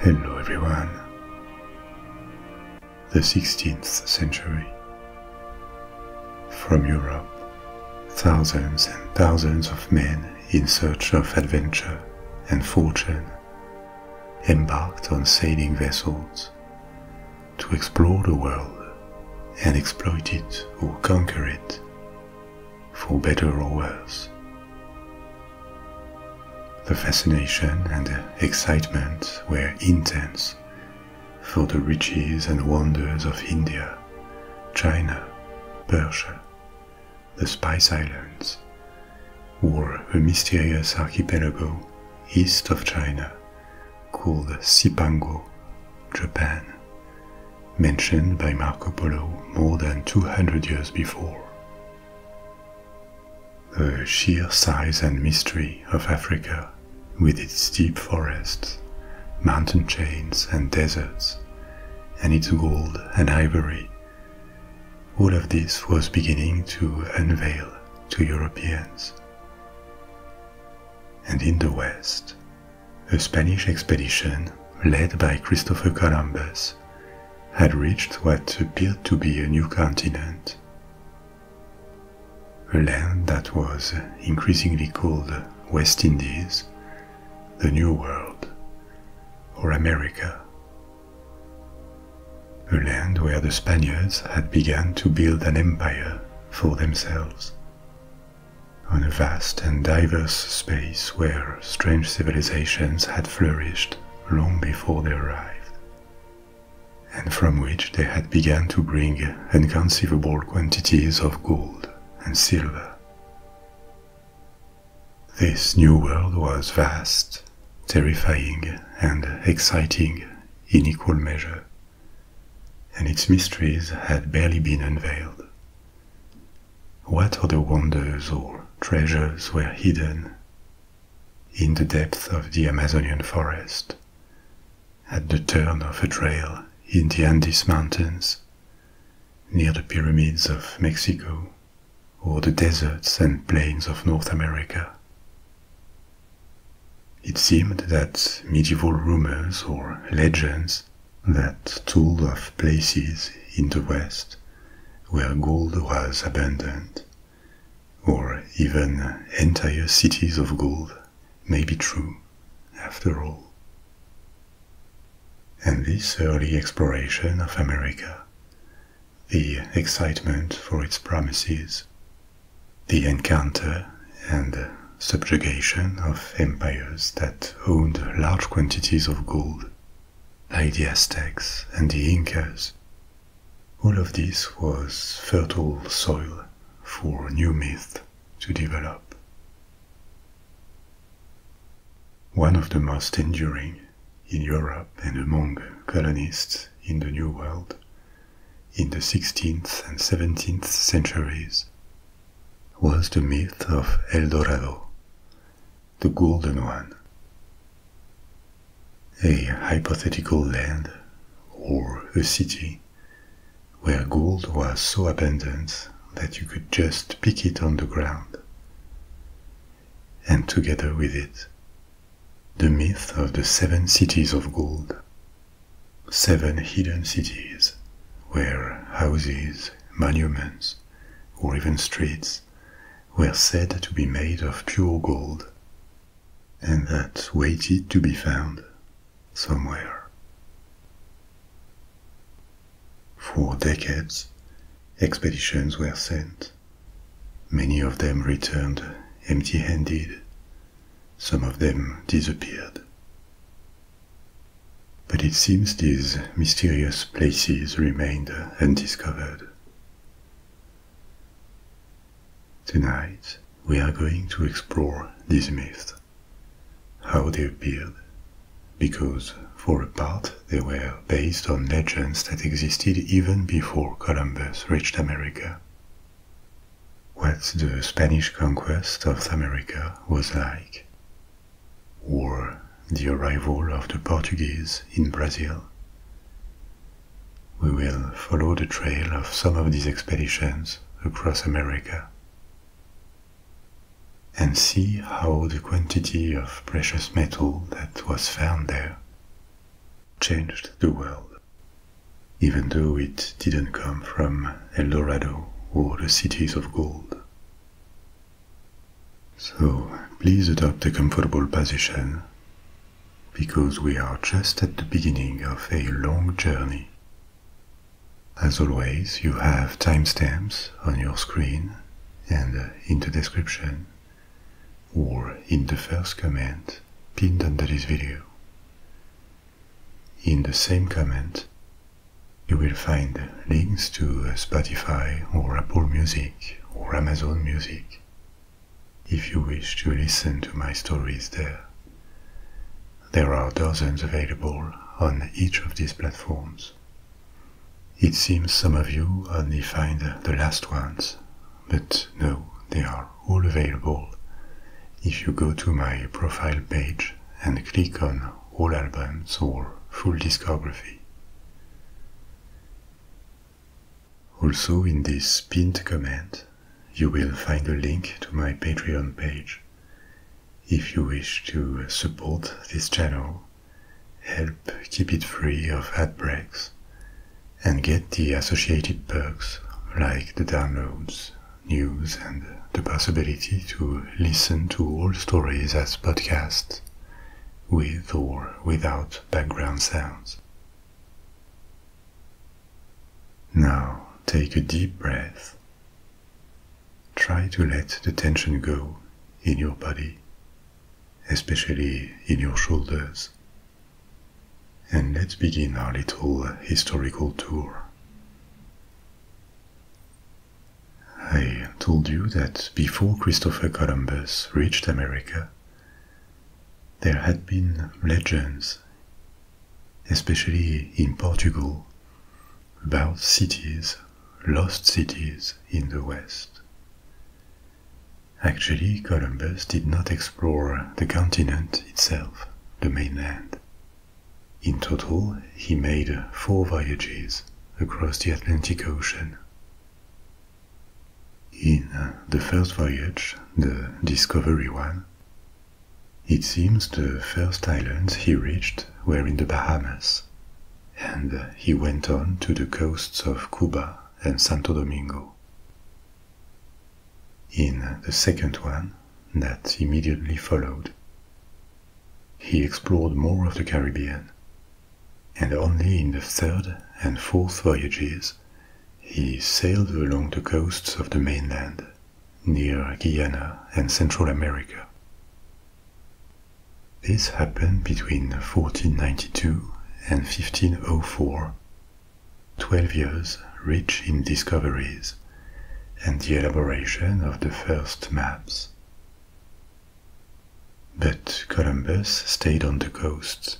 Hello everyone. The 16th century. From Europe, thousands and thousands of men in search of adventure and fortune embarked on sailing vessels to explore the world and exploit it or conquer it, for better or worse. The fascination and excitement were intense for the riches and wonders of India, China, Persia, the Spice Islands, or a mysterious archipelago east of China called Sipango, Japan, mentioned by Marco Polo more than 200 years before. The sheer size and mystery of Africa, with its deep forests, mountain chains, and deserts, and its gold and ivory, all of this was beginning to unveil to Europeans. And in the west, a Spanish expedition led by Christopher Columbus had reached what appeared to be a new continent, a land that was increasingly called West Indies, the New World, or America. A land where the Spaniards had begun to build an empire for themselves. On a vast and diverse space where strange civilizations had flourished long before they arrived, and from which they had begun to bring inconceivable quantities of gold and silver. This new world was vast, terrifying, and exciting in equal measure and its mysteries had barely been unveiled. What other wonders or treasures were hidden in the depths of the Amazonian forest, at the turn of a trail in the Andes Mountains, near the pyramids of Mexico, or the deserts and plains of North America? It seemed that medieval rumors or legends that told of places in the West where gold was abundant, or even entire cities of gold, may be true after all. And this early exploration of America, the excitement for its promises, the encounter and subjugation of empires that owned large quantities of gold, like the Aztecs and the Incas, all of this was fertile soil for new myth to develop. One of the most enduring in Europe and among colonists in the New World in the 16th and 17th centuries was the myth of El Dorado, the Golden One. A hypothetical land, or a city, where gold was so abundant that you could just pick it on the ground. And together with it, the myth of the seven cities of gold Seven hidden cities, where houses, monuments, or even streets were said to be made of pure gold, and that waited to be found somewhere. For decades, expeditions were sent. Many of them returned empty handed, some of them disappeared. But it seems these mysterious places remained undiscovered. Tonight, we are going to explore these myths, how they appeared, because for a part they were based on legends that existed even before Columbus reached America what the Spanish conquest of America was like, or the arrival of the Portuguese in Brazil. We will follow the trail of some of these expeditions across America and see how the quantity of precious metal that was found there changed the world even though it didn't come from El Dorado or the cities of gold. So please adopt a comfortable position because we are just at the beginning of a long journey. As always, you have timestamps on your screen and uh, in the description or in the first comment pinned under this video. In the same comment, you will find links to Spotify or Apple Music or Amazon Music if you wish to listen to my stories there. There are dozens available on each of these platforms. It seems some of you only find the last ones, but no, they are all available. If you go to my profile page and click on All Albums or Full Discography. Also in this pinned comment, you will find a link to my Patreon page. If you wish to support this channel, help keep it free of ad breaks, and get the associated perks like the downloads, news and the possibility to listen to all stories as podcasts, with or without background sounds. Now take a deep breath. Try to let the tension go in your body, especially in your shoulders. And let's begin our little historical tour. I told you that before Christopher Columbus reached America, there had been legends, especially in Portugal, about cities, lost cities in the West. Actually, Columbus did not explore the continent itself, the mainland. In total, he made four voyages across the Atlantic Ocean. In uh, the first voyage, the Discovery One, it seems the first islands he reached were in the Bahamas, and uh, he went on to the coasts of Cuba and Santo Domingo. In uh, the second one, that immediately followed. He explored more of the Caribbean, and only in the third and fourth voyages he sailed along the coasts of the mainland, near Guyana and Central America. This happened between 1492 and 1504, 12 years rich in discoveries and the elaboration of the first maps. But Columbus stayed on the coasts.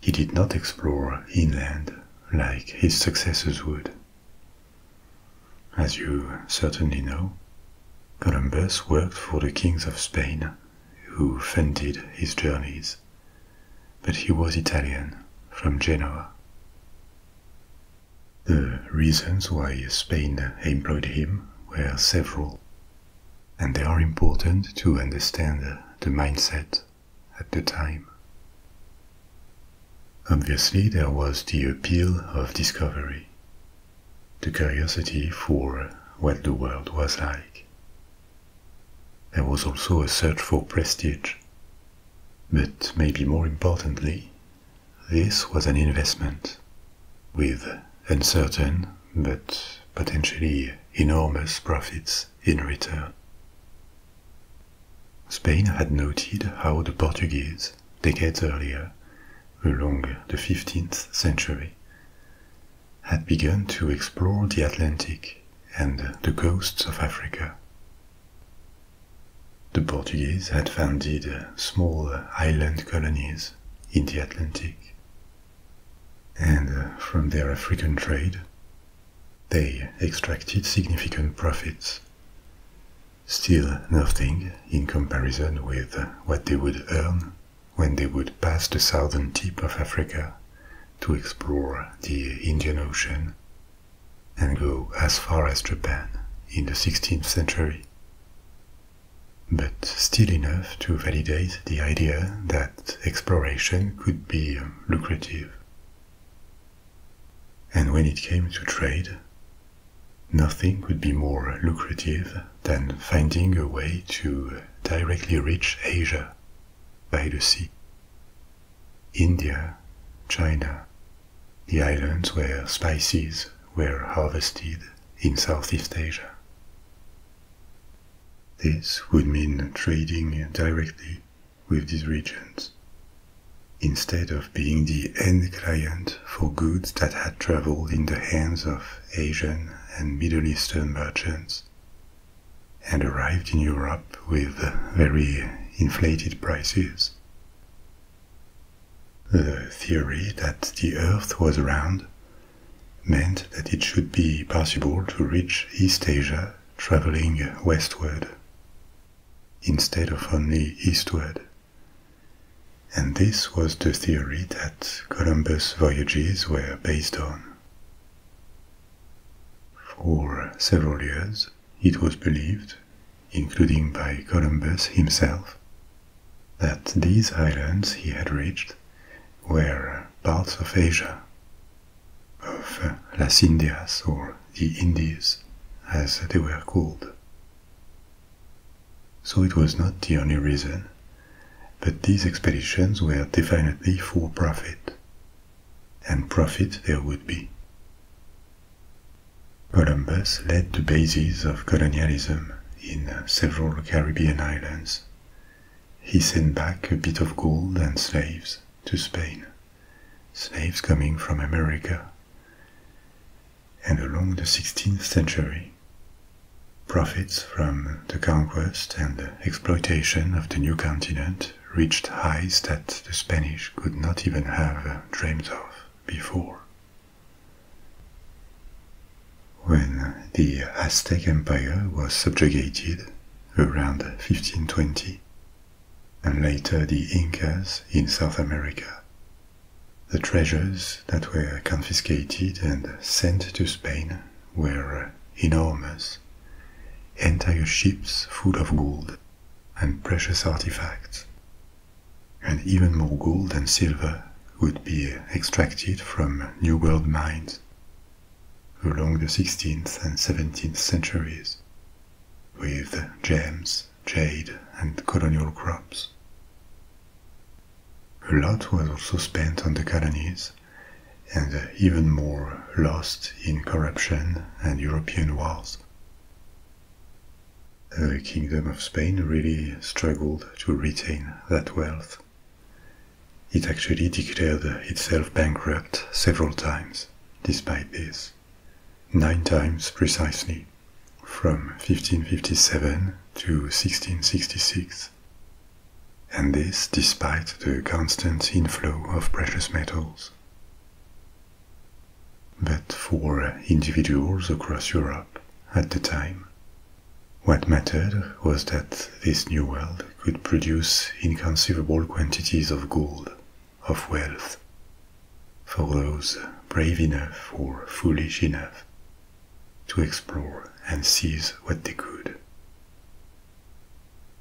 He did not explore inland like his successors would. As you certainly know, Columbus worked for the kings of Spain, who funded his journeys, but he was Italian from Genoa. The reasons why Spain employed him were several, and they are important to understand the mindset at the time. Obviously, there was the appeal of discovery, the curiosity for what the world was like. There was also a search for prestige, but maybe more importantly, this was an investment with uncertain but potentially enormous profits in return. Spain had noted how the Portuguese, decades earlier, along the 15th century, had begun to explore the Atlantic and the coasts of Africa. The Portuguese had founded uh, small uh, island colonies in the Atlantic. And uh, from their African trade, they extracted significant profits. Still nothing in comparison with what they would earn when they would pass the southern tip of Africa to explore the Indian Ocean and go as far as Japan in the 16th century, but still enough to validate the idea that exploration could be um, lucrative. And when it came to trade, nothing could be more lucrative than finding a way to directly reach Asia by the sea. India, China, the islands where spices were harvested in Southeast Asia. This would mean trading directly with these regions, instead of being the end client for goods that had traveled in the hands of Asian and Middle Eastern merchants and arrived in Europe with very inflated prices the theory that the Earth was round meant that it should be possible to reach East Asia traveling westward instead of only eastward. And this was the theory that Columbus' voyages were based on. For several years, it was believed, including by Columbus himself, that these islands he had reached were parts of Asia, of Las Indias or the Indies, as they were called. So it was not the only reason, but these expeditions were definitely for profit and profit there would be. Columbus laid the bases of colonialism in several Caribbean islands. He sent back a bit of gold and slaves to Spain, slaves coming from America. And along the 16th century, profits from the conquest and exploitation of the new continent reached heights that the Spanish could not even have uh, dreamed of before. When the Aztec Empire was subjugated around 1520, and later the Incas in South America, the treasures that were confiscated and sent to Spain were uh, enormous. Entire ships full of gold and precious artifacts. And even more gold and silver would be extracted from New World mines along the 16th and 17th centuries with gems, jade, and colonial crops. A lot was also spent on the colonies, and even more lost in corruption and European wars, the Kingdom of Spain really struggled to retain that wealth. It actually declared itself bankrupt several times, despite this. Nine times precisely, from 1557 to 1666. And this despite the constant inflow of precious metals but for individuals across Europe at the time. What mattered was that this new world could produce inconceivable quantities of gold, of wealth, for those brave enough or foolish enough to explore and seize what they could.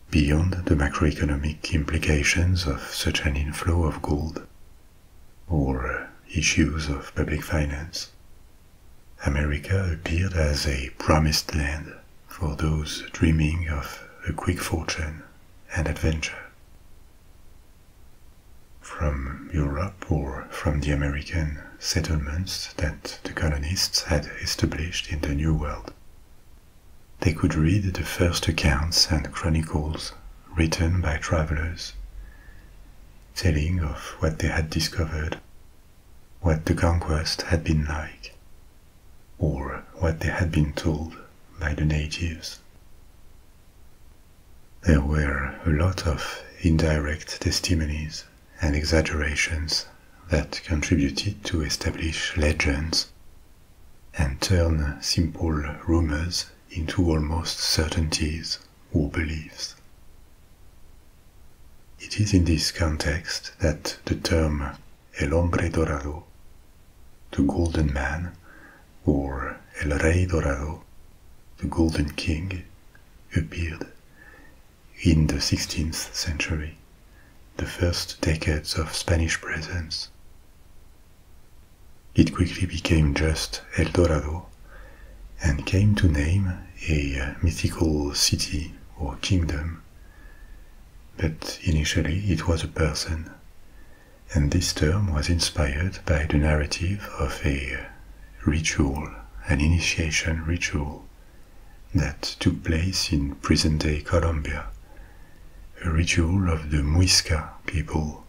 Beyond the macroeconomic implications of such an inflow of gold, or issues of public finance. America appeared as a promised land for those dreaming of a quick fortune and adventure. From Europe or from the American settlements that the colonists had established in the New World, they could read the first accounts and chronicles written by travelers, telling of what they had discovered, what the conquest had been like, or what they had been told by the natives. There were a lot of indirect testimonies and exaggerations that contributed to establish legends and turn simple rumors into almost certainties or beliefs. It is in this context that the term El Hombre Dorado, the Golden Man, or El Rey Dorado, the Golden King, appeared in the 16th century, the first decades of Spanish presence. It quickly became just El Dorado and came to name a uh, mythical city or kingdom. But initially it was a person, and this term was inspired by the narrative of a uh, ritual, an initiation ritual, that took place in present day Colombia, a ritual of the Muisca people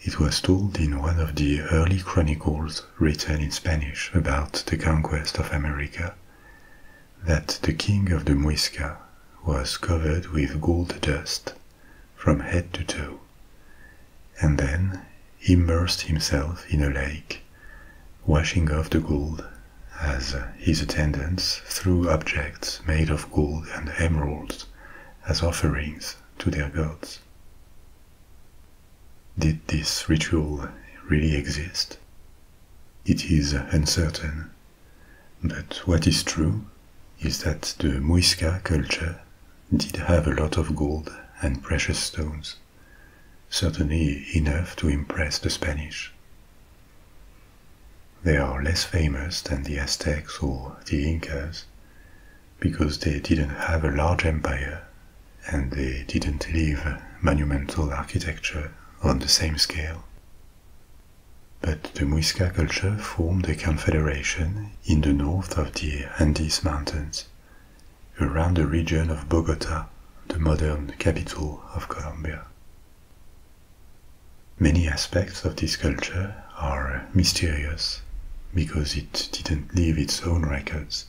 it was told in one of the early chronicles written in Spanish about the conquest of America that the king of the Muisca was covered with gold dust from head to toe, and then immersed himself in a lake, washing off the gold as his attendants threw objects made of gold and emeralds as offerings to their gods. Did this ritual really exist? It is uncertain, but what is true is that the Muisca culture did have a lot of gold and precious stones, certainly enough to impress the Spanish. They are less famous than the Aztecs or the Incas because they didn't have a large empire and they didn't leave monumental architecture on the same scale. But the Muisca culture formed a confederation in the north of the Andes Mountains, around the region of Bogota, the modern capital of Colombia. Many aspects of this culture are mysterious because it didn't leave its own records.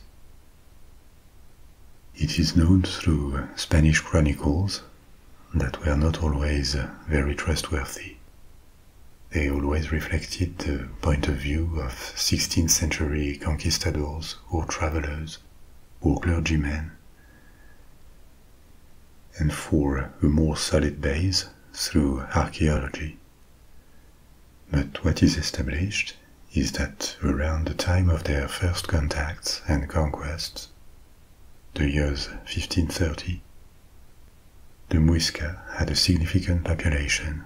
It is known through Spanish chronicles that were not always very trustworthy. They always reflected the point of view of 16th century conquistadors or travelers or clergymen and for a more solid base through archaeology. But what is established is that around the time of their first contacts and conquests, the years 1530, the Muisca had a significant population.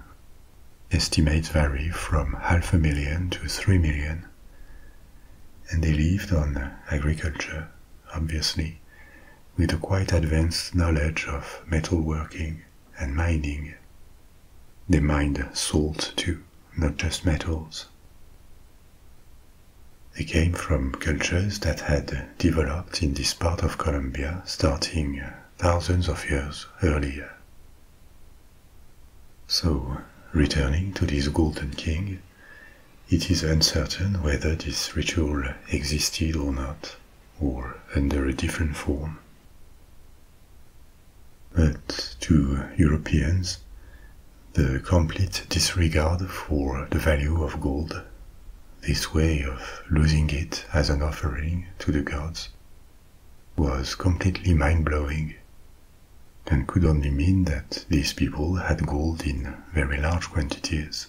Estimates vary from half a million to three million, and they lived on agriculture obviously, with a quite advanced knowledge of metalworking and mining. They mined salt too, not just metals. They came from cultures that had developed in this part of Colombia starting thousands of years earlier. So, returning to this Golden King, it is uncertain whether this ritual existed or not, or under a different form. But to Europeans, the complete disregard for the value of gold, this way of losing it as an offering to the gods, was completely mind blowing and could only mean that these people had gold in very large quantities.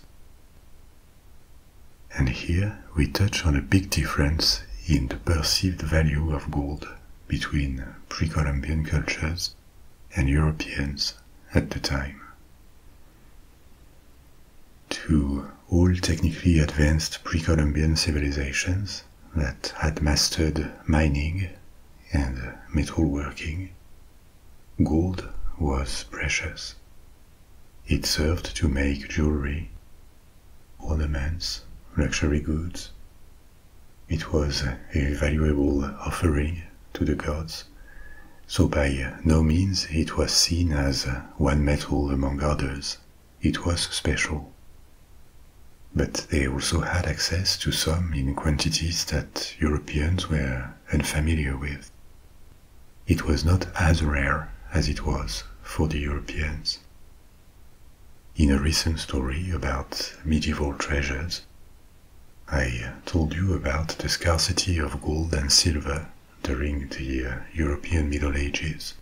And here we touch on a big difference in the perceived value of gold between pre Columbian cultures and Europeans at the time. To all technically advanced pre Columbian civilizations that had mastered mining and metalworking, Gold was precious. It served to make jewelry, ornaments, luxury goods. It was a valuable offering to the gods, so by no means it was seen as one metal among others. It was special. But they also had access to some in quantities that Europeans were familiar with. It was not as rare as it was for the Europeans. In a recent story about medieval treasures, I told you about the scarcity of gold and silver during the uh, European Middle Ages.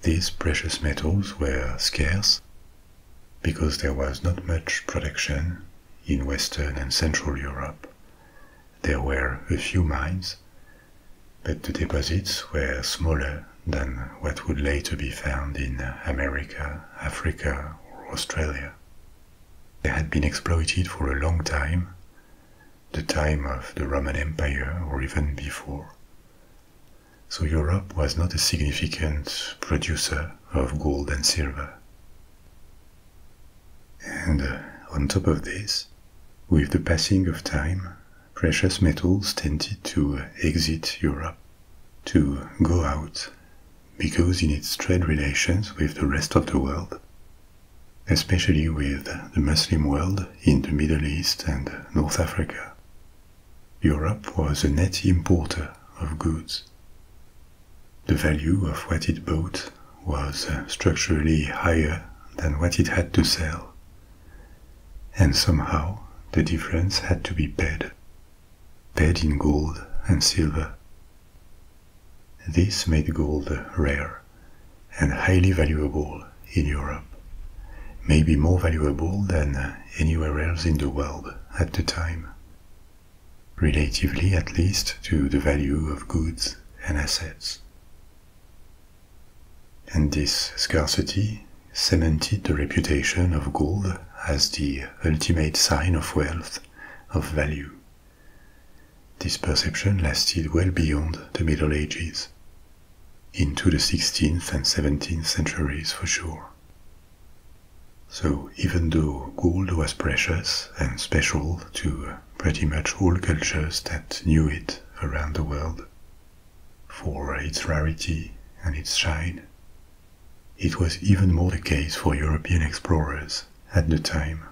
These precious metals were scarce because there was not much production in Western and Central Europe. There were a few mines, but the deposits were smaller than what would later be found in America, Africa, or Australia. They had been exploited for a long time, the time of the Roman Empire or even before. So Europe was not a significant producer of gold and silver. And uh, on top of this, with the passing of time, precious metals tended to exit Europe, to go out, because in its trade relations with the rest of the world, especially with the Muslim world in the Middle East and North Africa, Europe was a net importer of goods. The value of what it bought was uh, structurally higher than what it had to sell, and somehow the difference had to be paid, paid in gold and silver. This made gold rare and highly valuable in Europe, maybe more valuable than anywhere else in the world at the time relatively at least to the value of goods and assets. And this scarcity cemented the reputation of gold as the ultimate sign of wealth, of value. This perception lasted well beyond the Middle Ages, into the 16th and 17th centuries for sure. So, even though gold was precious and special to pretty much all cultures that knew it around the world, for its rarity and its shine, it was even more the case for European explorers at the time,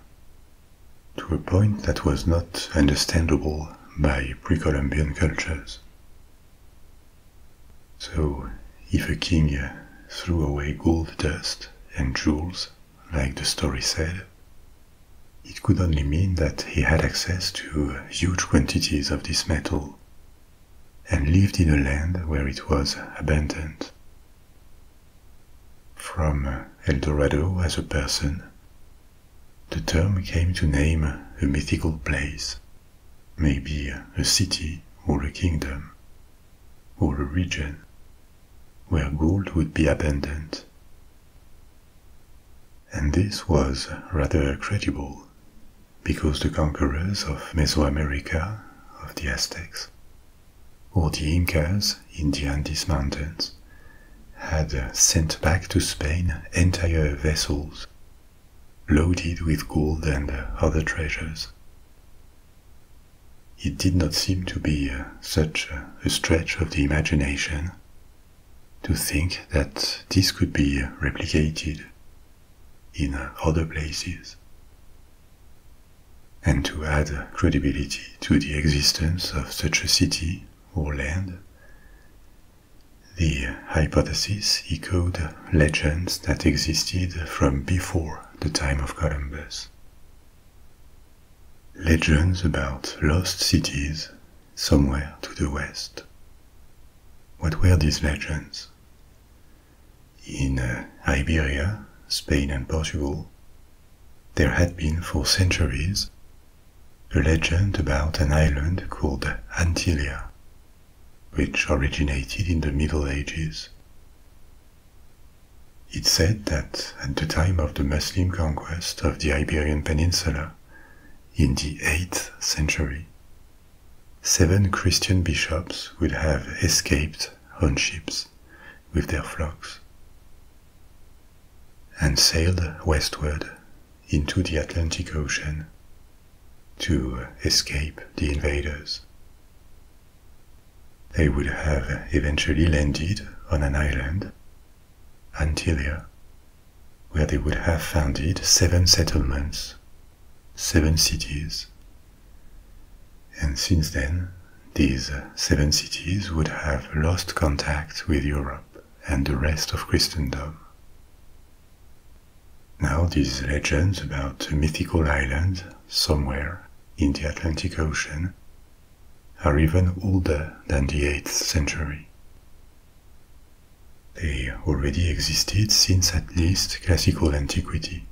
to a point that was not understandable by pre-Columbian cultures. So, if a king threw away gold dust and jewels, like the story said, it could only mean that he had access to huge quantities of this metal and lived in a land where it was abundant. From El Dorado as a person, the term came to name a mythical place, maybe a city or a kingdom, or a region where gold would be abundant. And this was rather credible, because the conquerors of Mesoamerica, of the Aztecs, or the Incas in the Andes Mountains, had sent back to Spain entire vessels loaded with gold and other treasures. It did not seem to be uh, such a stretch of the imagination to think that this could be uh, replicated in uh, other places and to add credibility to the existence of such a city or land. The hypothesis echoed legends that existed from before the time of Columbus. Legends about lost cities somewhere to the west. What were these legends? In uh, Iberia, Spain, and Portugal, there had been for centuries a legend about an island called Antilia, which originated in the Middle Ages. It said that at the time of the Muslim conquest of the Iberian Peninsula, in the 8th century, seven Christian bishops would have escaped on ships with their flocks and sailed westward into the Atlantic Ocean to escape the invaders. They would have eventually landed on an island, Antilia, where they would have founded seven settlements, seven cities. And since then, these seven cities would have lost contact with Europe and the rest of Christendom. Now, these legends about a mythical island somewhere in the Atlantic Ocean are even older than the 8th century. They already existed since at least classical antiquity.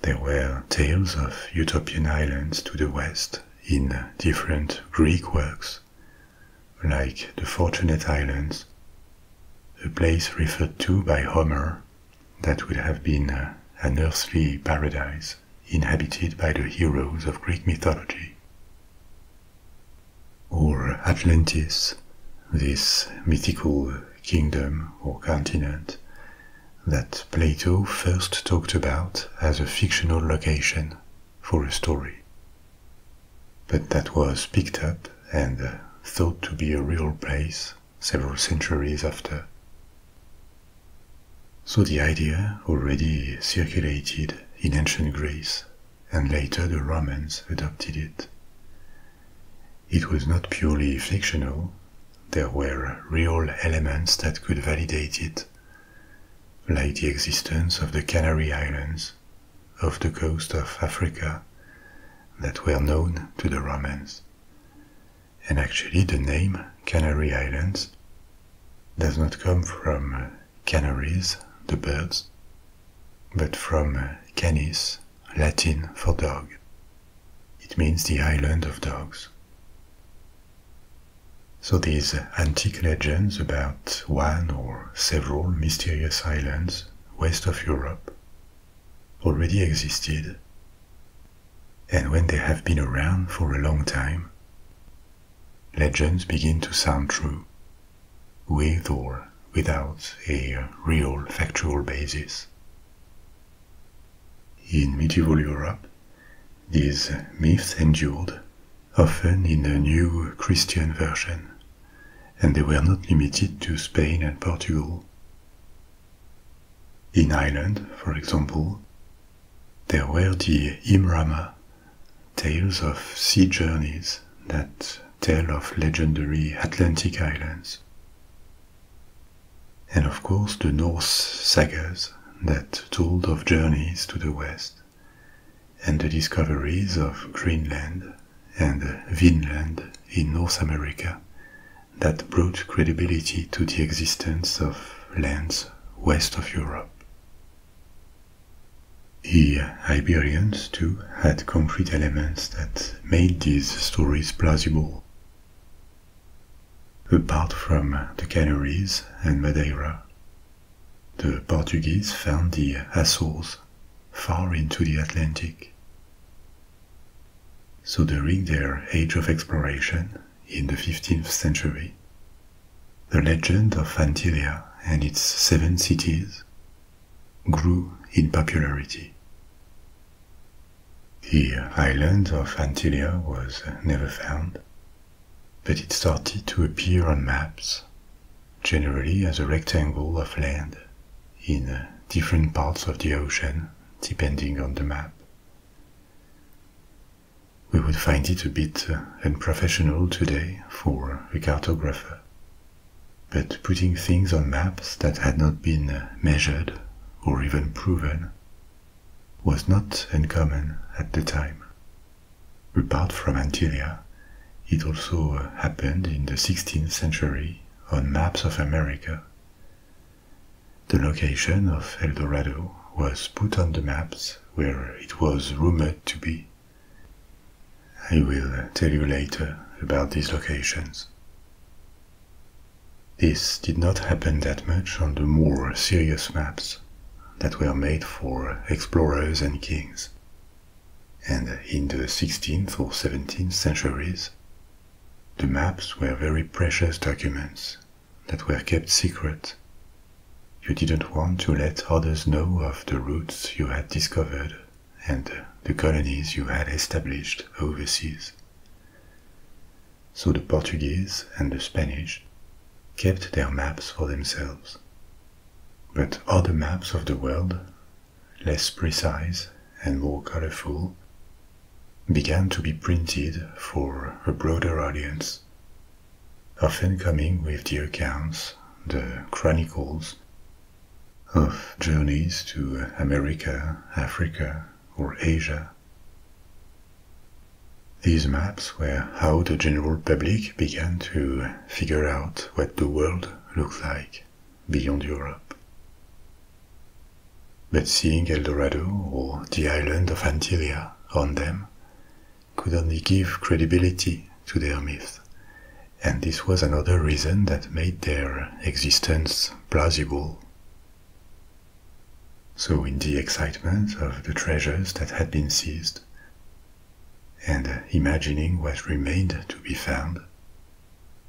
There were tales of utopian islands to the west in different Greek works, like the Fortunate Islands, a place referred to by Homer that would have been an earthly paradise inhabited by the heroes of Greek mythology. Or Atlantis, this mythical kingdom or continent that Plato first talked about as a fictional location for a story. But that was picked up and thought to be a real place several centuries after. So the idea already circulated in ancient Greece, and later the Romans adopted it. It was not purely fictional, there were real elements that could validate it, like the existence of the Canary Islands, of the coast of Africa, that were known to the Romans and actually the name Canary Islands does not come from uh, canaries, the birds, but from uh, canis, Latin for dog. It means the island of dogs. So these uh, antique legends about one or several mysterious islands west of Europe already existed and when they have been around for a long time, legends begin to sound true, with or without a real factual basis. In medieval Europe, these myths endured, often in a new Christian version, and they were not limited to Spain and Portugal. In Ireland, for example, there were the Imrama, tales of sea journeys that tell of legendary Atlantic islands. And of course, the Norse sagas that told of journeys to the west and the discoveries of Greenland and Vinland in North America that brought credibility to the existence of lands west of Europe. The Iberians, too, had concrete elements that made these stories plausible. Apart from the Canaries and Madeira, the Portuguese found the Azores far into the Atlantic. So during their age of exploration in the 15th century, the legend of Antilia and its seven cities grew in popularity. The island of Antilia was never found, but it started to appear on maps, generally as a rectangle of land in different parts of the ocean, depending on the map, we would find it a bit uh, unprofessional today for a cartographer. But putting things on maps that had not been uh, measured or even proven was not uncommon at the time. Apart from Antilia, it also uh, happened in the 16th century on maps of America, the location of El Dorado was put on the maps where it was rumored to be. I will tell you later about these locations. This did not happen that much on the more serious maps that were made for explorers and kings. And in the 16th or 17th centuries, the maps were very precious documents that were kept secret. You didn't want to let others know of the routes you had discovered and the colonies you had established overseas. So the Portuguese and the Spanish kept their maps for themselves. But other maps of the world, less precise and more colorful, began to be printed for a broader audience, often coming with the accounts, the chronicles, of journeys to America, Africa, or Asia. These maps were how the general public began to figure out what the world looked like beyond Europe. But seeing El Dorado or the island of Antilia on them could only give credibility to their myth, and this was another reason that made their existence plausible. So, in the excitement of the treasures that had been seized, and imagining what remained to be found,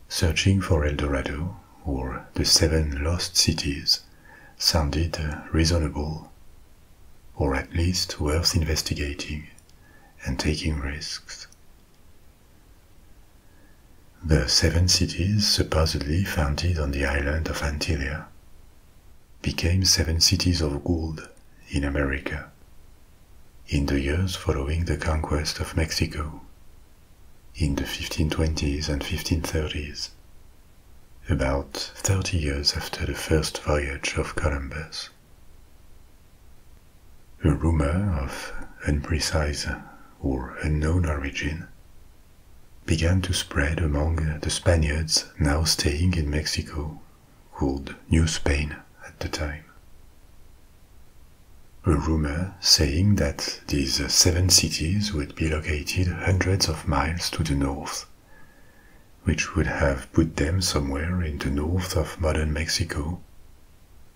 searching for El Dorado or the seven lost cities sounded reasonable, or at least worth investigating and taking risks. The seven cities supposedly founded on the island of Antilia became seven cities of gold in America in the years following the conquest of Mexico in the 1520s and 1530s, about 30 years after the first voyage of Columbus. A rumor of unprecise or unknown origin began to spread among the Spaniards now staying in Mexico, called New Spain at the time. A rumor saying that these seven cities would be located hundreds of miles to the north, which would have put them somewhere in the north of modern Mexico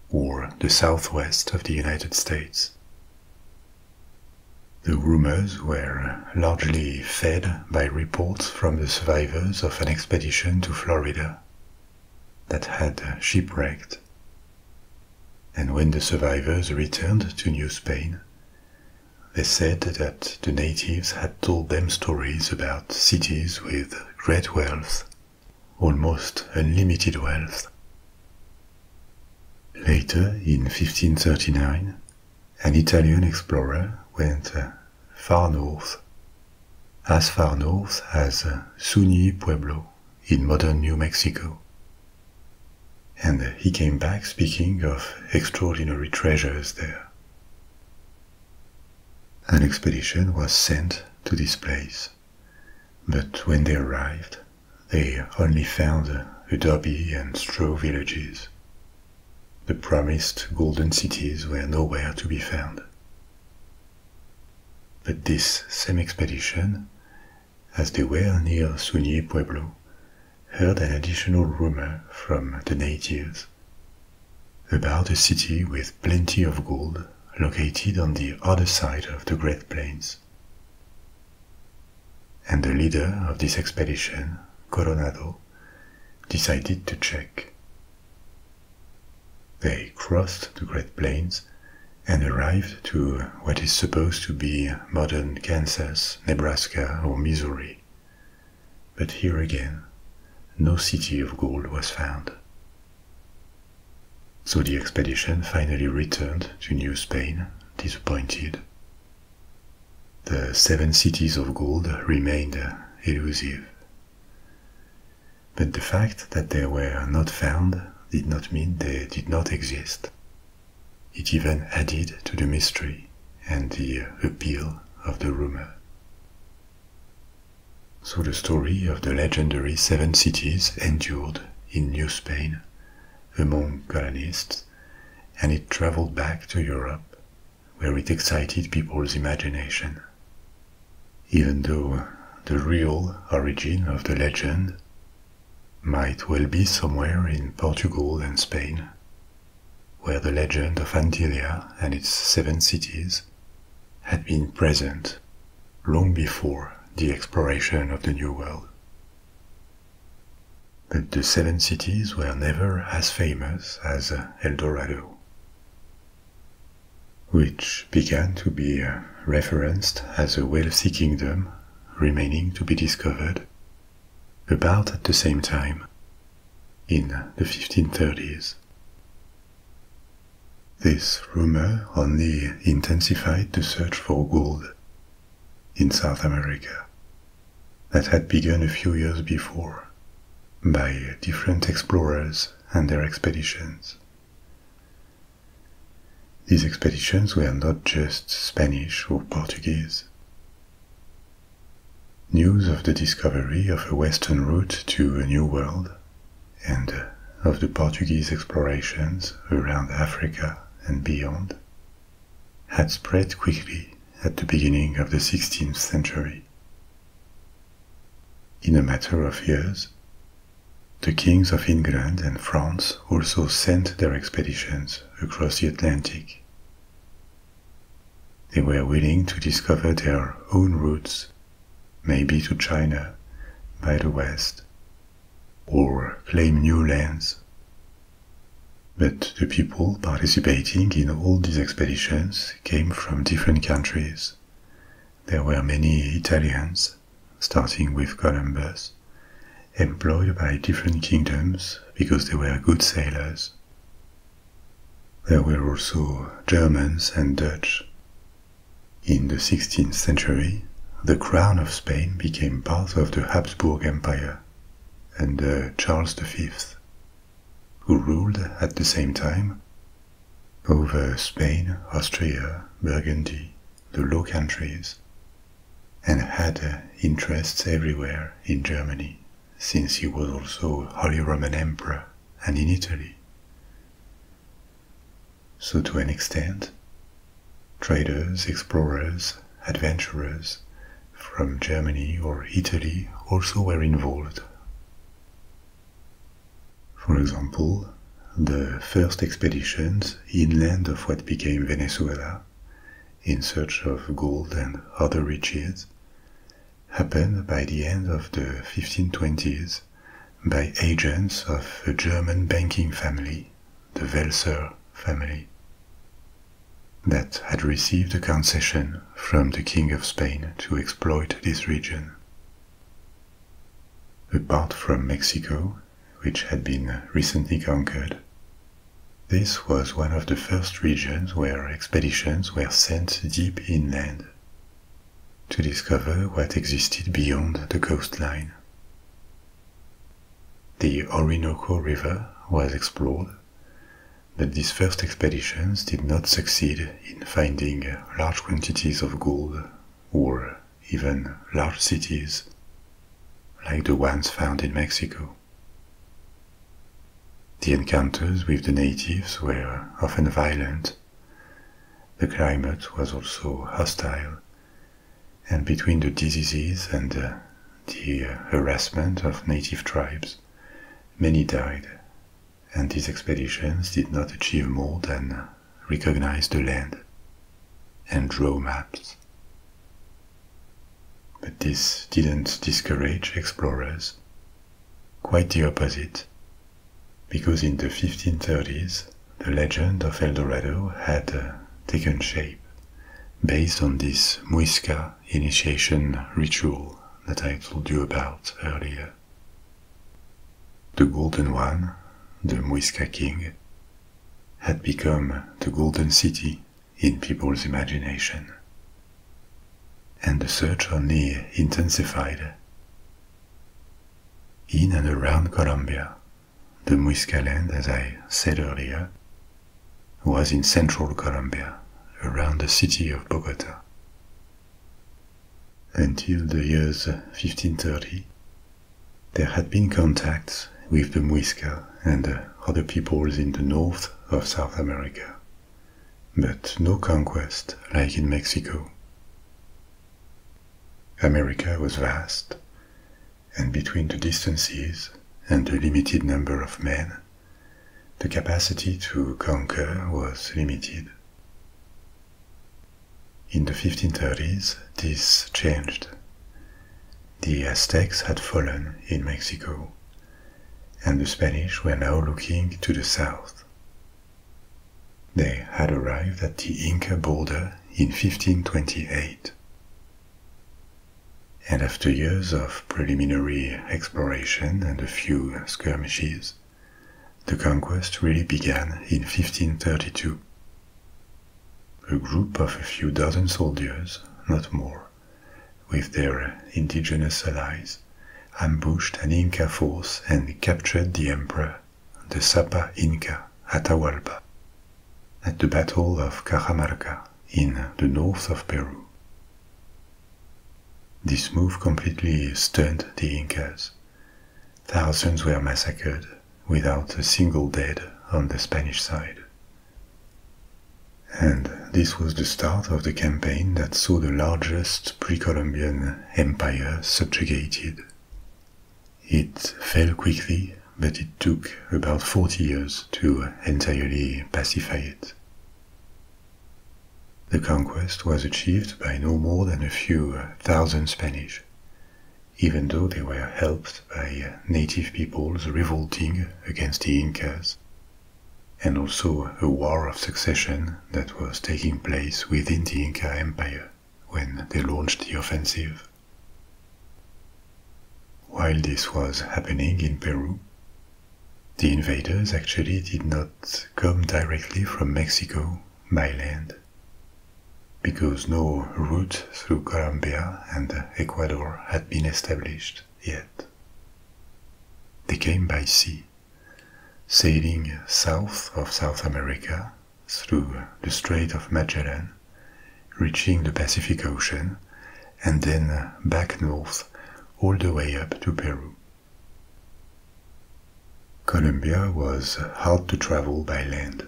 or the southwest of the United States. The rumors were largely fed by reports from the survivors of an expedition to Florida that had shipwrecked. And when the survivors returned to New Spain, they said that the natives had told them stories about cities with great wealth, almost unlimited wealth. Later, in 1539, an Italian explorer went uh, far north, as far north as uh, Suni Pueblo in modern New Mexico. And he came back speaking of extraordinary treasures there. An expedition was sent to this place, but when they arrived, they only found adobe and straw villages. The promised golden cities were nowhere to be found. But this same expedition as they were near Sunier Pueblo, heard an additional rumor from the natives about a city with plenty of gold located on the other side of the Great Plains. And the leader of this expedition, Coronado, decided to check. They crossed the Great Plains and arrived to what is supposed to be modern Kansas, Nebraska, or Missouri. But here again, no city of gold was found. So the expedition finally returned to New Spain, disappointed. The seven cities of gold remained elusive. But the fact that they were not found did not mean they did not exist. It even added to the mystery and the appeal of the rumor. So the story of the legendary Seven Cities endured in New Spain among colonists, and it traveled back to Europe, where it excited people's imagination. Even though the real origin of the legend might well be somewhere in Portugal and Spain, where the legend of Antilia and its seven cities had been present long before the exploration of the New World. But the seven cities were never as famous as El Dorado, which began to be referenced as a wealthy kingdom remaining to be discovered about at the same time, in the 1530s. This rumor only intensified the search for gold in South America that had begun a few years before by different explorers and their expeditions. These expeditions were not just Spanish or Portuguese. News of the discovery of a western route to a new world and of the Portuguese explorations around Africa and beyond had spread quickly at the beginning of the 16th century. In a matter of years, the kings of England and France also sent their expeditions across the Atlantic. They were willing to discover their own routes, maybe to China by the west, or claim new lands. But the people participating in all these expeditions came from different countries. There were many Italians, starting with Columbus, employed by different kingdoms because they were good sailors. There were also Germans and Dutch. In the 16th century, the crown of Spain became part of the Habsburg Empire and Charles V, who ruled at the same time over Spain, Austria, Burgundy, the Low Countries, and had uh, interests everywhere in Germany, since he was also Holy Roman Emperor and in Italy. So, to an extent, traders, explorers, adventurers from Germany or Italy also were involved. For example, the first expeditions inland of what became Venezuela in search of gold and other riches happened by the end of the 1520s by agents of a German banking family, the Welser family, that had received a concession from the King of Spain to exploit this region. Apart from Mexico, which had been recently conquered. This was one of the first regions where expeditions were sent deep inland to discover what existed beyond the coastline. The Orinoco River was explored, but these first expeditions did not succeed in finding large quantities of gold or even large cities like the ones found in Mexico. The encounters with the natives were often violent. The climate was also hostile, and between the diseases and uh, the uh, harassment of native tribes, many died, and these expeditions did not achieve more than recognize the land and draw maps. But this didn't discourage explorers. Quite the opposite, because in the 1530s the legend of El Dorado had uh, taken shape based on this Muisca initiation ritual that I told you about earlier. The Golden One, the Muisca King, had become the Golden City in people's imagination. And the search only intensified. In and around Colombia, the Muisca land, as I said earlier, was in central Colombia, around the city of Bogota. Until the years 1530, there had been contacts with the Muisca and uh, other peoples in the north of South America, but no conquest like in Mexico. America was vast, and between the distances and the limited number of men, the capacity to conquer was limited. In the 1530s, this changed. The Aztecs had fallen in Mexico, and the Spanish were now looking to the south. They had arrived at the Inca border in 1528. And after years of preliminary exploration and a few skirmishes, the conquest really began in 1532. A group of a few dozen soldiers, not more, with their indigenous allies, ambushed an Inca force and captured the emperor, the Sapa Inca Atahualpa. At the Battle of Cajamarca in the north of Peru. This move completely stunned the Incas. Thousands were massacred without a single dead on the Spanish side. And this was the start of the campaign that saw the largest pre Columbian empire subjugated. It fell quickly, but it took about 40 years to entirely pacify it. The conquest was achieved by no more than a few thousand Spanish, even though they were helped by uh, native peoples revolting against the Incas, and also a war of succession that was taking place within the Inca Empire when they launched the offensive. While this was happening in Peru, the invaders actually did not come directly from Mexico by land, because no route through Colombia and Ecuador had been established yet. They came by sea, sailing south of South America through the Strait of Magellan, reaching the Pacific Ocean, and then back north all the way up to Peru. Colombia was hard to travel by land,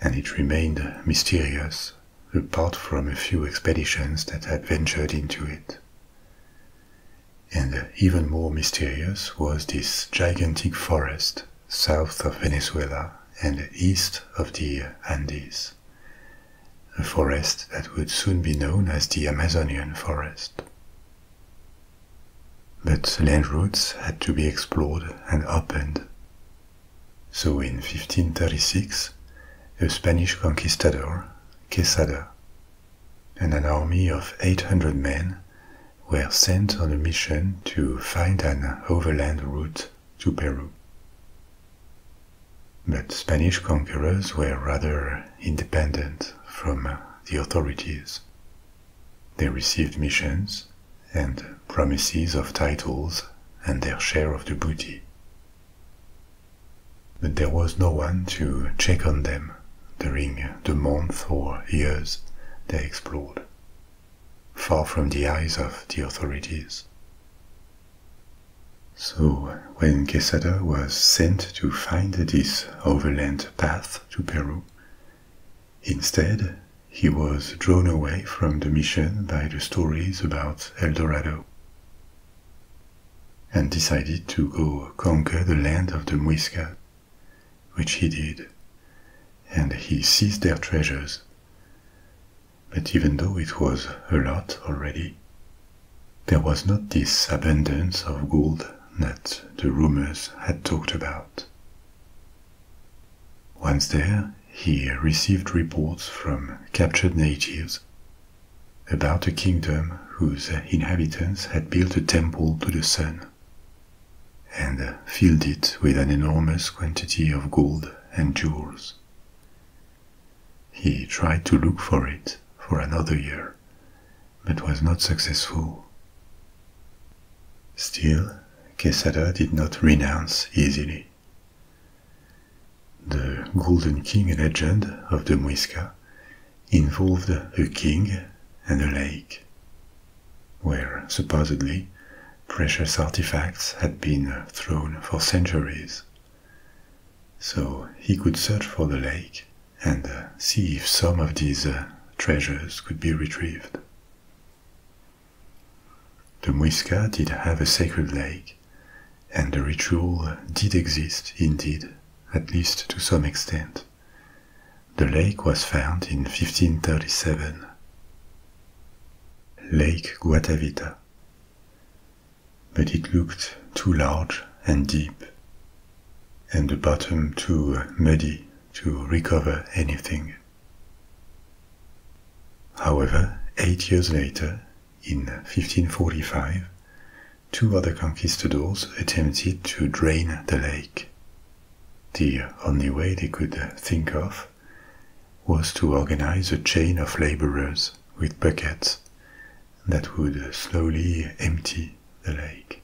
and it remained mysterious apart from a few expeditions that had ventured into it. And even more mysterious was this gigantic forest south of Venezuela and east of the Andes, a forest that would soon be known as the Amazonian forest. But land routes had to be explored and opened, so in 1536, a Spanish conquistador, Quesada, and an army of 800 men were sent on a mission to find an overland route to Peru. But Spanish conquerors were rather independent from the authorities. They received missions and promises of titles and their share of the booty. But there was no one to check on them during the month or years they explored, far from the eyes of the authorities. So, when Quesada was sent to find this overland path to Peru, instead he was drawn away from the mission by the stories about at El Dorado and decided to go conquer the land of the Muisca, which he did, and he seized their treasures. But even though it was a lot already, there was not this abundance of gold that the rumors had talked about. Once there, he received reports from captured natives about a kingdom whose inhabitants had built a temple to the sun and filled it with an enormous quantity of gold and jewels. He tried to look for it for another year, but was not successful. Still, Quesada did not renounce easily. The Golden King legend of the Muisca involved a king and a lake, where supposedly precious artifacts had been thrown for centuries. So he could search for the lake and see if some of these uh, treasures could be retrieved. The Muisca did have a sacred lake, and the ritual did exist indeed, at least to some extent. The lake was found in 1537. Lake Guatavita. But it looked too large and deep, and the bottom too muddy to recover anything. However, eight years later, in 1545, two other conquistadors attempted to drain the lake. The only way they could think of was to organize a chain of laborers with buckets that would slowly empty the lake.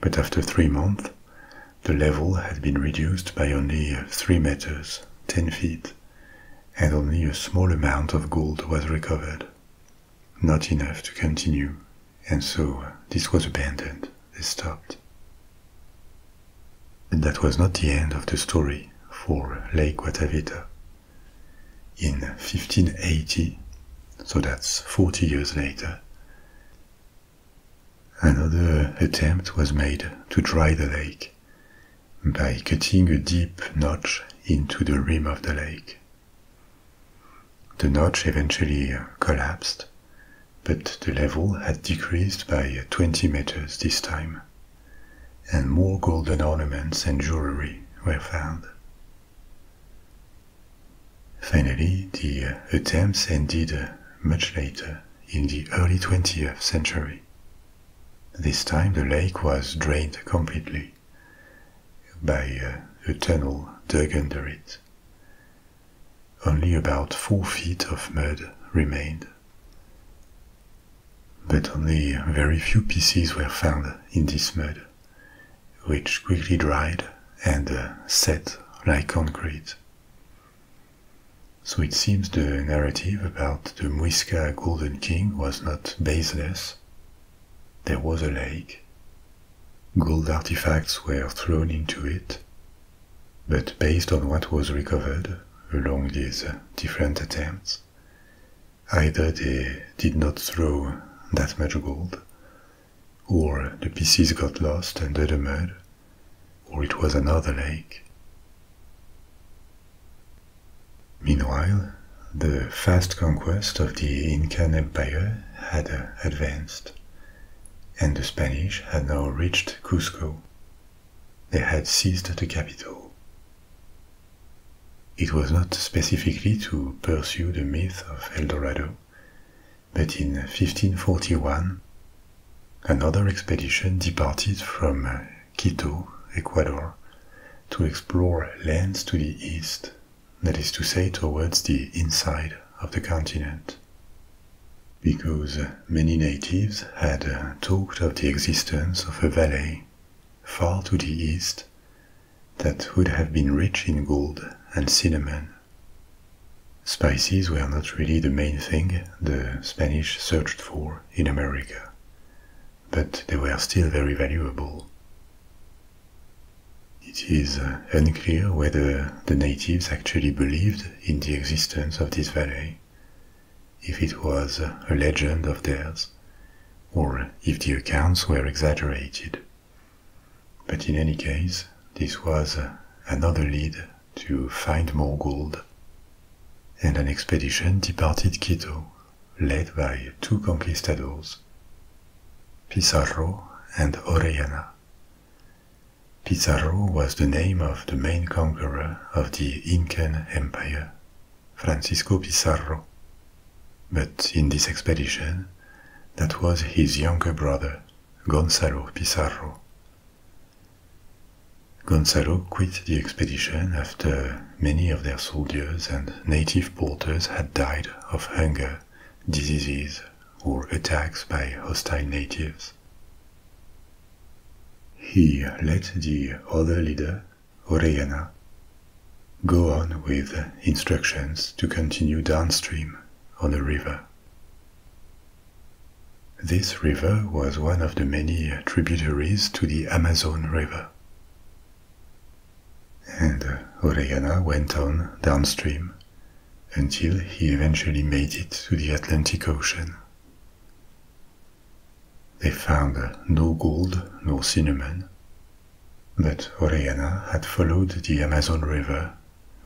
But after three months, the level had been reduced by only 3 meters, 10 feet, and only a small amount of gold was recovered. Not enough to continue, and so this was abandoned, they stopped. But that was not the end of the story for Lake Guatavita. In 1580, so that's 40 years later, another attempt was made to dry the lake, by cutting a deep notch into the rim of the lake. The notch eventually collapsed, but the level had decreased by 20 meters this time, and more golden ornaments and jewelry were found. Finally, the attempts ended much later in the early 20th century. This time the lake was drained completely by a uh, tunnel dug under it. Only about four feet of mud remained. But only very few pieces were found in this mud, which quickly dried and uh, set like concrete. So it seems the narrative about the Muisca Golden King was not baseless. There was a lake. Gold artifacts were thrown into it. But based on what was recovered along these different attempts, either they did not throw that much gold, or the pieces got lost under the mud or it was another lake. Meanwhile, the fast conquest of the Inca Empire had uh, advanced, and the Spanish had now reached Cusco. They had seized the capital. It was not specifically to pursue the myth of El Dorado, but in 1541 Another expedition departed from Quito, Ecuador, to explore lands to the east, that is to say, towards the inside of the continent. Because many natives had talked of the existence of a valley far to the east that would have been rich in gold and cinnamon. Spices were not really the main thing the Spanish searched for in America, but they were still very valuable. It is uh, unclear whether the natives actually believed in the existence of this valley, if it was a legend of theirs, or if the accounts were exaggerated. But in any case, this was uh, another lead to find more gold, and an expedition departed Quito, led by two conquistadors, Pizarro and Orellana. Pizarro was the name of the main conqueror of the Incan Empire, Francisco Pizarro. But in this expedition, that was his younger brother, Gonzalo Pizarro, Gonzalo quit the expedition after many of their soldiers and native porters had died of hunger, diseases, or attacks by hostile natives. He let the other leader, Orellana, go on with instructions to continue downstream on the river. This river was one of the many tributaries to the Amazon River. And uh, Orellana went on downstream until he eventually made it to the Atlantic Ocean. They found uh, no gold nor cinnamon, but Orellana had followed the Amazon River,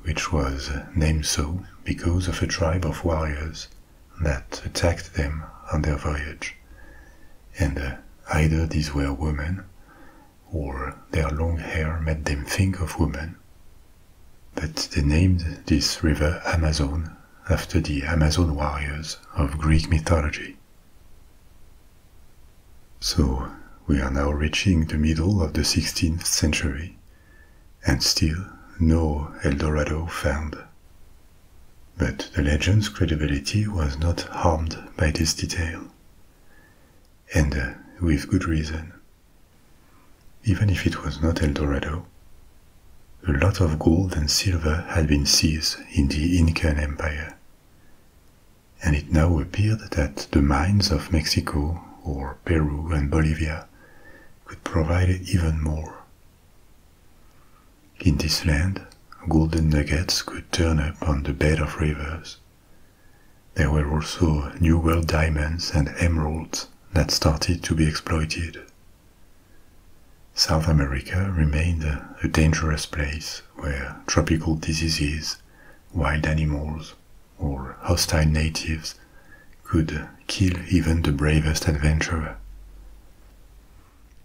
which was named so because of a tribe of warriors that attacked them on their voyage, and uh, either these were women or their long hair made them think of women. But they named this river Amazon after the Amazon warriors of Greek mythology. So we are now reaching the middle of the 16th century, and still no El Dorado found. But the legend's credibility was not harmed by this detail, and uh, with good reason. Even if it was not El Dorado, a lot of gold and silver had been seized in the Inca Empire, and it now appeared that the mines of Mexico or Peru and Bolivia could provide even more. In this land, golden nuggets could turn up on the bed of rivers. There were also New World diamonds and emeralds that started to be exploited. South America remained a dangerous place where tropical diseases, wild animals, or hostile natives could kill even the bravest adventurer.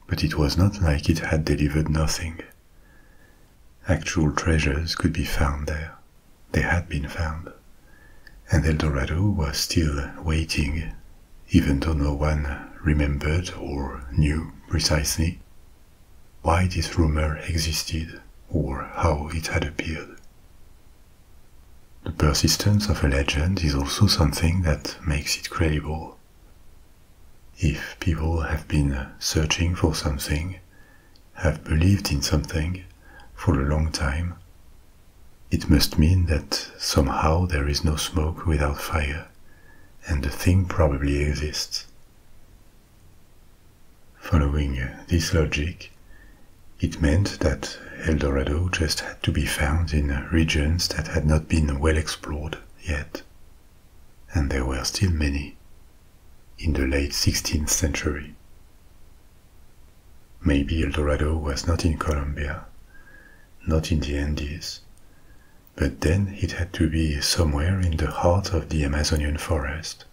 But it was not like it had delivered nothing. Actual treasures could be found there. They had been found. And El Dorado was still waiting, even though no one remembered or knew precisely why this rumor existed or how it had appeared. The persistence of a legend is also something that makes it credible. If people have been searching for something, have believed in something for a long time, it must mean that somehow there is no smoke without fire, and the thing probably exists. Following this logic, it meant that El Dorado just had to be found in regions that had not been well explored yet. And there were still many in the late 16th century. Maybe El Dorado was not in Colombia, not in the Andes, but then it had to be somewhere in the heart of the Amazonian forest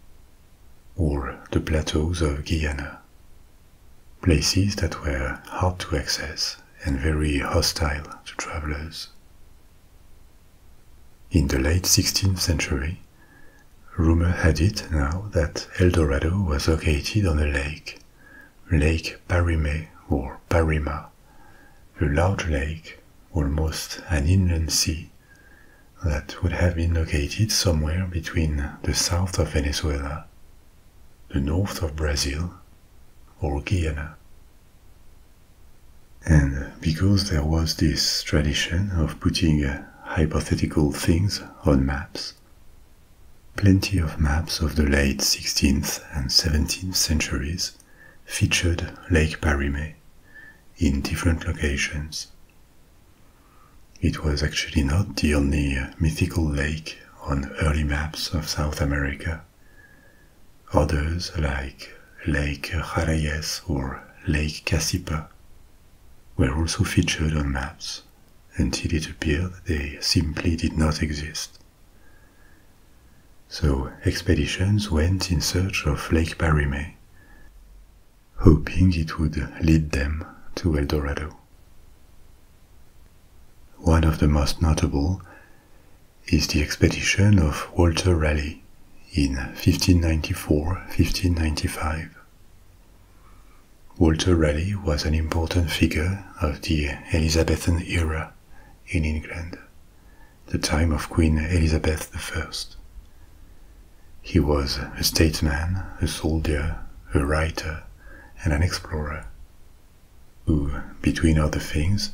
or the plateaus of Guyana, places that were hard to access and very hostile to travelers. In the late 16th century, rumor had it now that El Dorado was located on a lake, Lake Parime or Parima, a large lake, almost an inland sea, that would have been located somewhere between the south of Venezuela, the north of Brazil, or Guyana. And because there was this tradition of putting uh, hypothetical things on maps, plenty of maps of the late 16th and 17th centuries featured Lake Parimé in different locations. It was actually not the only uh, mythical lake on early maps of South America. Others, like Lake Jarayes or Lake Cassipa, were also featured on maps until it appeared they simply did not exist. So expeditions went in search of Lake Parimé, hoping it would lead them to El Dorado. One of the most notable is the expedition of Walter Raleigh in 1594 1595. Walter Raleigh was an important figure of the Elizabethan era in England, the time of Queen Elizabeth I. He was a statesman, a soldier, a writer, and an explorer who, between other things,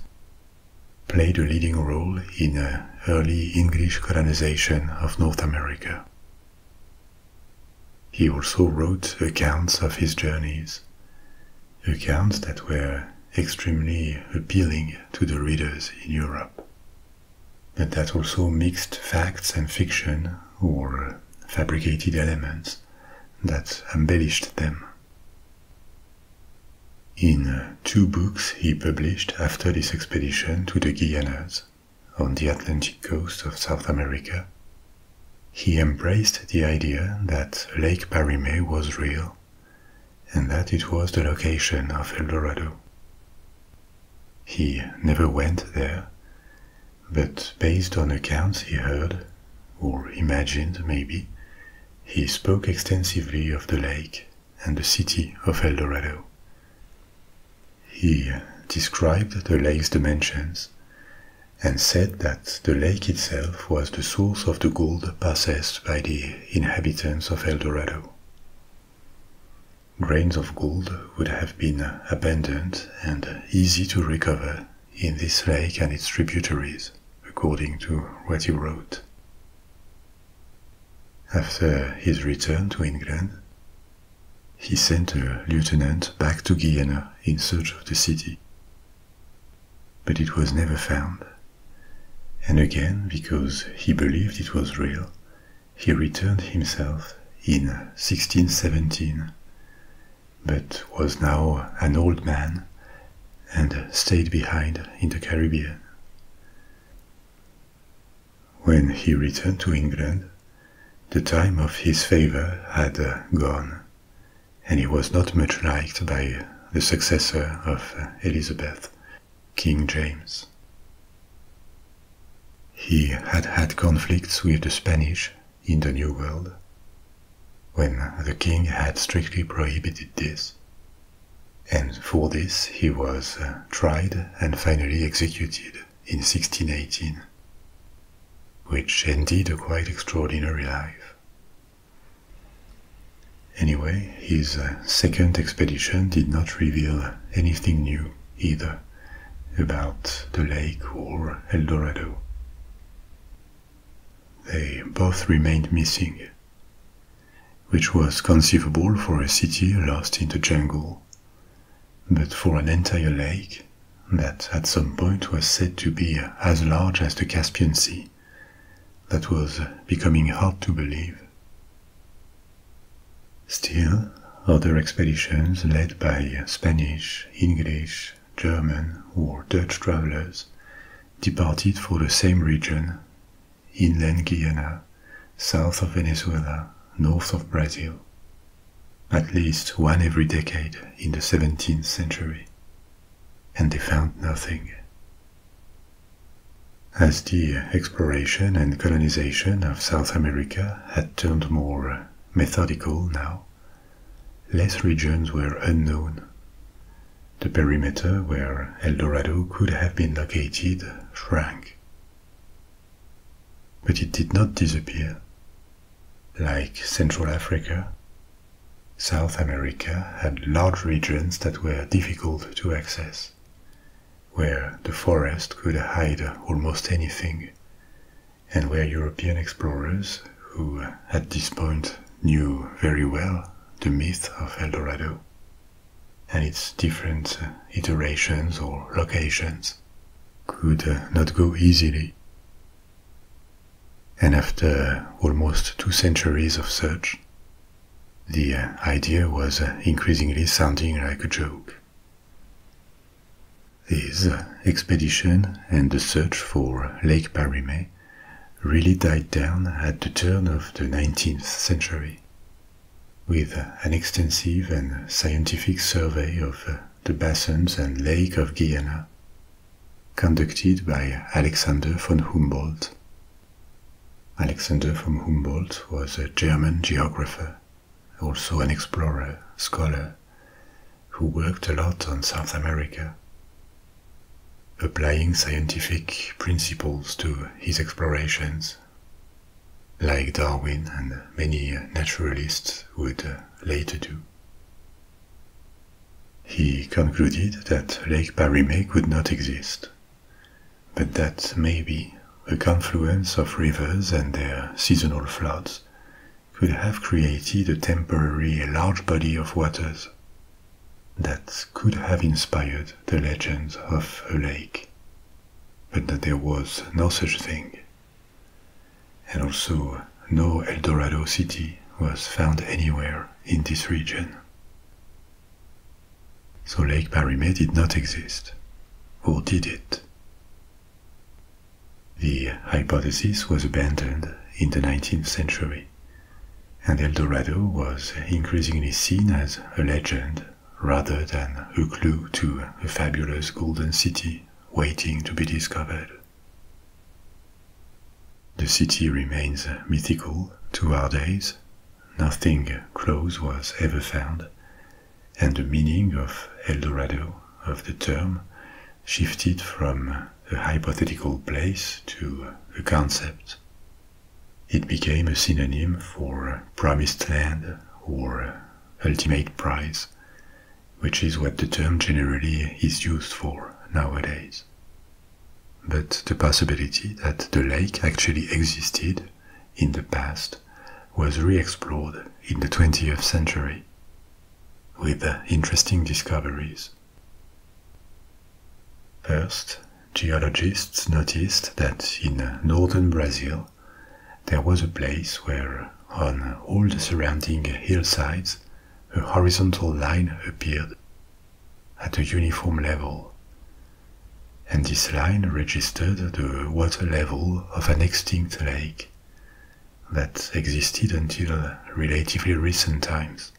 played a leading role in the uh, early English colonization of North America. He also wrote accounts of his journeys, accounts that were extremely appealing to the readers in Europe, but that also mixed facts and fiction or fabricated elements that embellished them. In two books he published after this expedition to the Guianas, on the Atlantic coast of South America, he embraced the idea that Lake Barimé was real and that it was the location of El Dorado. He never went there, but based on accounts he heard, or imagined maybe, he spoke extensively of the lake and the city of El Dorado. He described the lake's dimensions and said that the lake itself was the source of the gold possessed by the inhabitants of El Dorado. Grains of gold would have been abundant and easy to recover in this lake and its tributaries, according to what he wrote. After his return to England, he sent a lieutenant back to Guienne in search of the city. But it was never found, and again, because he believed it was real, he returned himself in 1617 but was now an old man and stayed behind in the Caribbean. When he returned to England, the time of his favor had uh, gone, and he was not much liked by the successor of uh, Elizabeth, King James. He had had conflicts with the Spanish in the New World, when the king had strictly prohibited this. And for this he was uh, tried and finally executed in 1618, which ended a quite extraordinary life. Anyway, his uh, second expedition did not reveal anything new either about the lake or El Dorado. They both remained missing, which was conceivable for a city lost in the jungle, but for an entire lake that at some point was said to be as large as the Caspian Sea, that was becoming hard to believe. Still, other expeditions led by Spanish, English, German, or Dutch travelers departed for the same region, inland Guyana, south of Venezuela, north of Brazil. At least one every decade in the 17th century. And they found nothing. As the exploration and colonization of South America had turned more methodical now, less regions were unknown. The perimeter where El Dorado could have been located shrank. But it did not disappear. Like Central Africa, South America had large regions that were difficult to access, where the forest could hide almost anything, and where European explorers who at this point knew very well the myth of El Dorado and its different iterations or locations, could not go easily. And after almost two centuries of search, the idea was increasingly sounding like a joke. His expedition and the search for Lake Parime really died down at the turn of the 19th century, with an extensive and scientific survey of uh, the basins and lake of Guyana, conducted by Alexander von Humboldt. Alexander von Humboldt was a German geographer, also an explorer, scholar, who worked a lot on South America. Applying scientific principles to his explorations, like Darwin and many naturalists would uh, later do. He concluded that Lake Parimé could not exist, but that maybe a confluence of rivers and their seasonal floods could have created a temporary large body of waters that could have inspired the legend of a lake, but that there was no such thing. And also, no El Dorado city was found anywhere in this region. So Lake Parime did not exist, or did it? The hypothesis was abandoned in the 19th century and El Dorado was increasingly seen as a legend rather than a clue to a fabulous golden city waiting to be discovered. The city remains mythical to our days, nothing close was ever found, and the meaning of El Dorado of the term shifted from a hypothetical place to a concept. It became a synonym for promised land or ultimate prize, which is what the term generally is used for nowadays. But the possibility that the lake actually existed in the past was re-explored in the 20th century with interesting discoveries. First, geologists noticed that in northern Brazil there was a place where, on all the surrounding hillsides, a horizontal line appeared at a uniform level, and this line registered the water level of an extinct lake that existed until relatively recent times.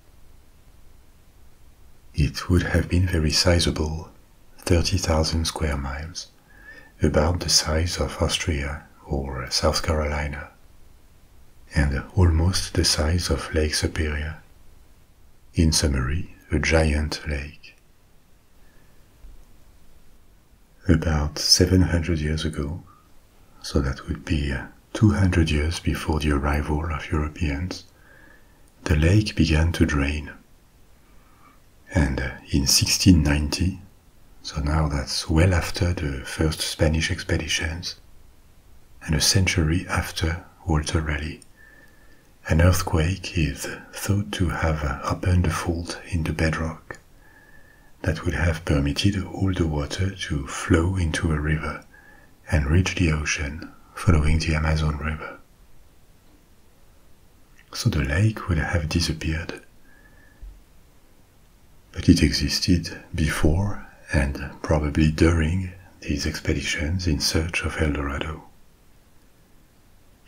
It would have been very sizable, 30,000 square miles, about the size of Austria or South Carolina, and almost the size of Lake Superior. In summary, a giant lake. About 700 years ago, so that would be 200 years before the arrival of Europeans, the lake began to drain. And uh, in 1690, so now that's well after the first Spanish expeditions, and a century after Walter Raleigh, an earthquake is thought to have uh, opened a fault in the bedrock that would have permitted all the water to flow into a river and reach the ocean following the Amazon River. So the lake would have disappeared. But it existed before and probably during these expeditions in search of El Dorado.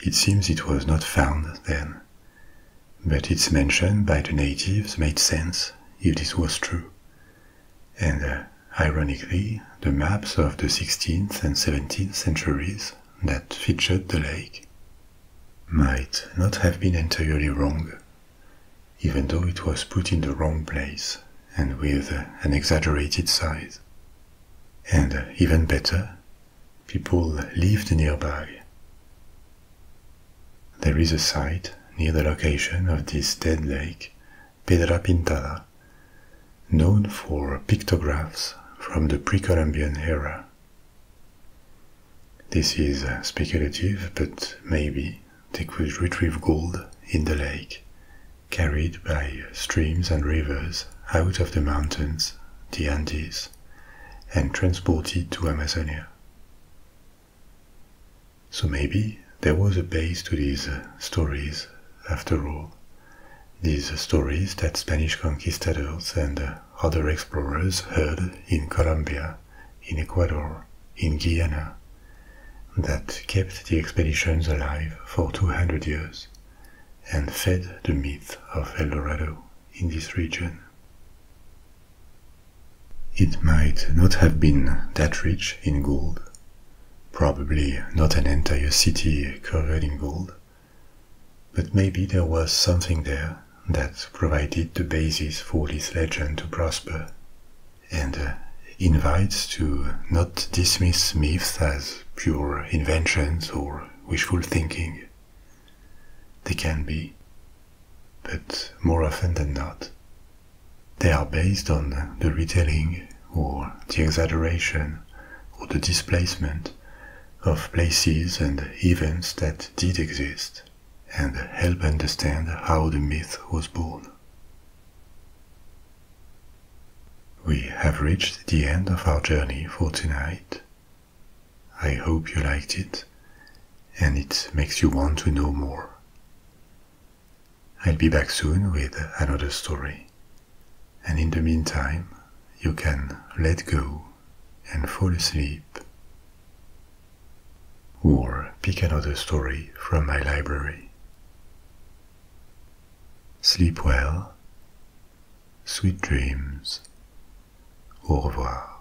It seems it was not found then, but its mention by the natives made sense if this was true, and uh, ironically, the maps of the 16th and 17th centuries that featured the lake might not have been entirely wrong, even though it was put in the wrong place and with uh, an exaggerated size. And uh, even better, people lived nearby. There is a site near the location of this dead lake, Pedra Pintada, known for pictographs from the pre-Columbian era. This is uh, speculative, but maybe they could retrieve gold in the lake, carried by streams and rivers out of the mountains, the Andes, and transported to Amazonia. So maybe there was a base to these uh, stories after all. These uh, stories that Spanish conquistadors and uh, other explorers heard in Colombia, in Ecuador, in Guyana, that kept the expeditions alive for 200 years and fed the myth of El Dorado in this region. It might not have been that rich in gold, probably not an entire city covered in gold, but maybe there was something there that provided the basis for this legend to prosper and uh, invites to not dismiss myths as pure inventions or wishful thinking. They can be, but more often than not, they are based on the retelling or the exaggeration or the displacement of places and events that did exist and help understand how the myth was born. We have reached the end of our journey for tonight. I hope you liked it and it makes you want to know more. I'll be back soon with another story, and in the meantime, you can let go and fall asleep. Or pick another story from my library. Sleep well, sweet dreams, au revoir.